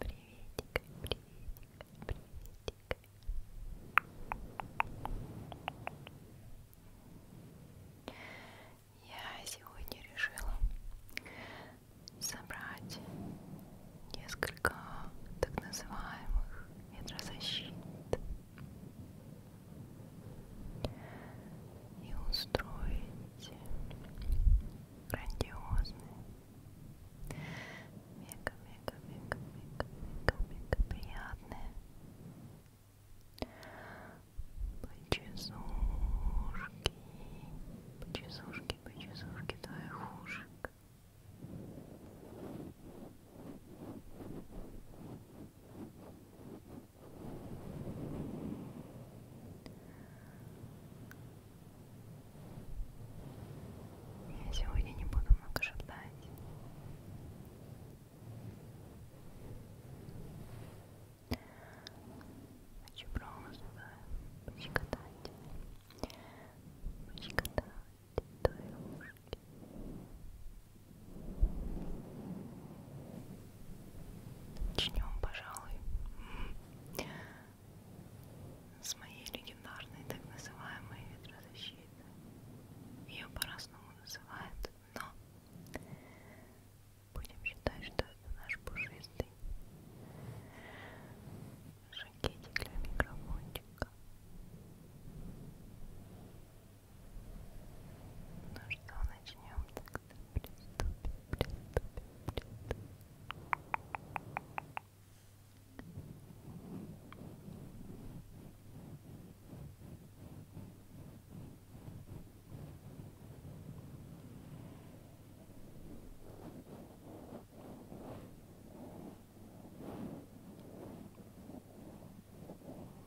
Приветик, приветик, приветик. Я сегодня решила собрать несколько так называемых ветрозащит и устроить грандиозное мега-мега-мега-мега-мега приятное почесушки, почесушки, почесушки твоих ушек. Я сегодня не буду много ждать. Хочу просто пощекотать, пощекотать твои ушки, Начнем, пожалуй, с моей легендарной так называемой ветрозащиты. Ее по-разному называют, но будем считать, что это наш пушистый шакетик для микрофончика. Ну что, начнем так приступим, приступим, приступим. Итак,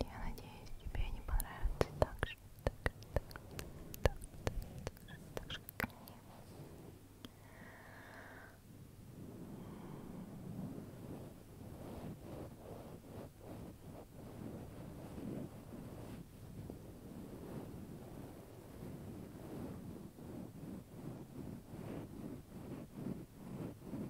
Я надеюсь, тебе не понравится так же, так же, так же, так же, так же, так же, как мне. Ой,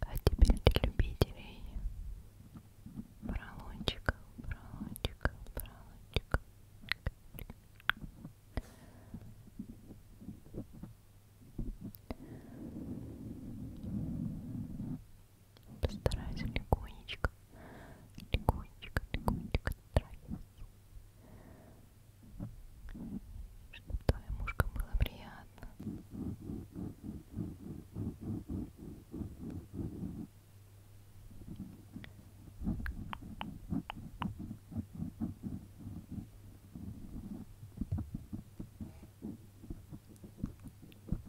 А теперь для любителей поролончиков, поролончиков, поролончиков. Постараюсь легонечко, легонечко, легонечко травиться. Чтобы твоим ушкам было приятно.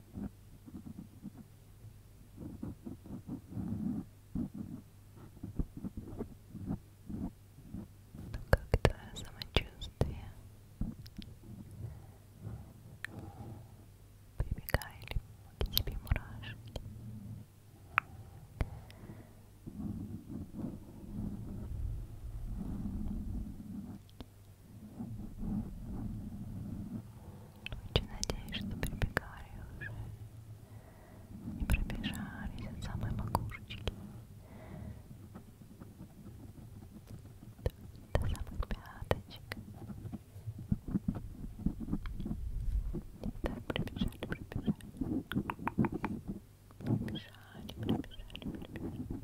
Как твое самочувствие? Прибегали к тебе мурашки. Как очень надеюсь, что прибегали уже и пробежались от самой макушечки до, до самых пяточек. И так пробежали, пробежали. Пробежали, пробежали, пробежали.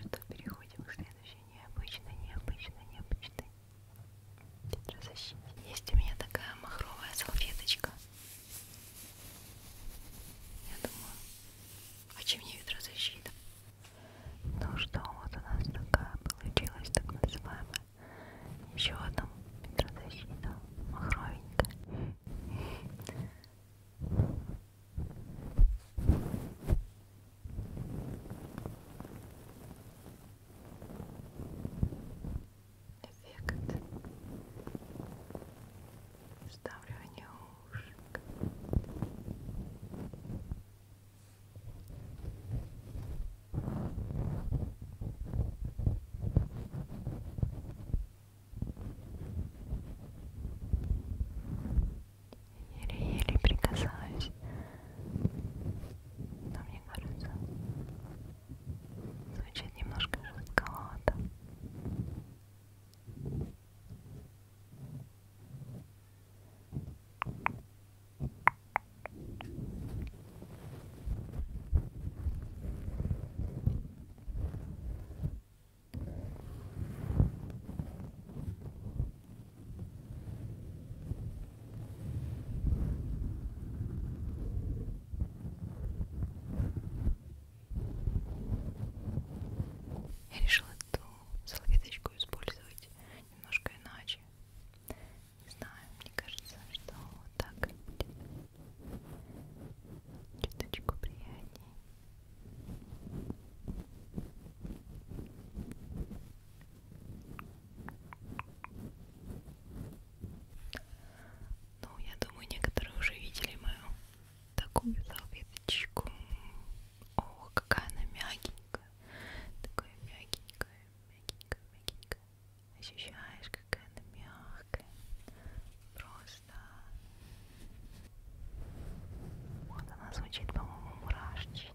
Что переходим к следующей необычно, необычно, необычной Гидрозащита. Есть у меня такая махровая салфеточка. Я думаю, а чем не гидрозащита? Ну что, вот у нас такая получилась так называемая. Еще одна гидрозащита махровенькая эффект вставливания ушек. Еле-еле прикасаюсь вещь. Но мне кажется, звучит немножко жестковато. Я решила эту салфеточку использовать немножко иначе. Не знаю, мне кажется, что вот так будет чуточку приятнее. Ну, я думаю, некоторые уже видели мою такую салфеточку. О, какая она мягенькая. Такая мягенькая, мягенькая, мягенькая. Ощущаешь, какая она мягкая. Просто. Вот она звучит, по-моему, мурашечно.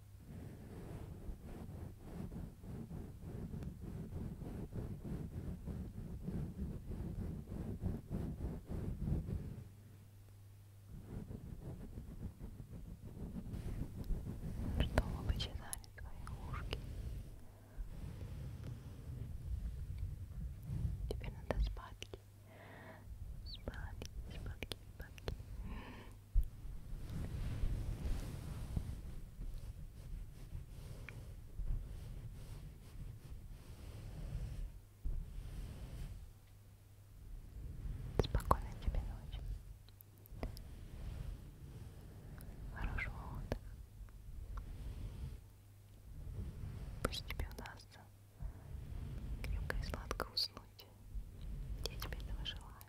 Чтобы почитали твои ушки. Теперь надо спать. Спать, спать, спать. Спокойной тебе ночи. Хорошего отдыха. Пусть тебе удастся крепко и сладко уснуть. Я тебе этого желаю.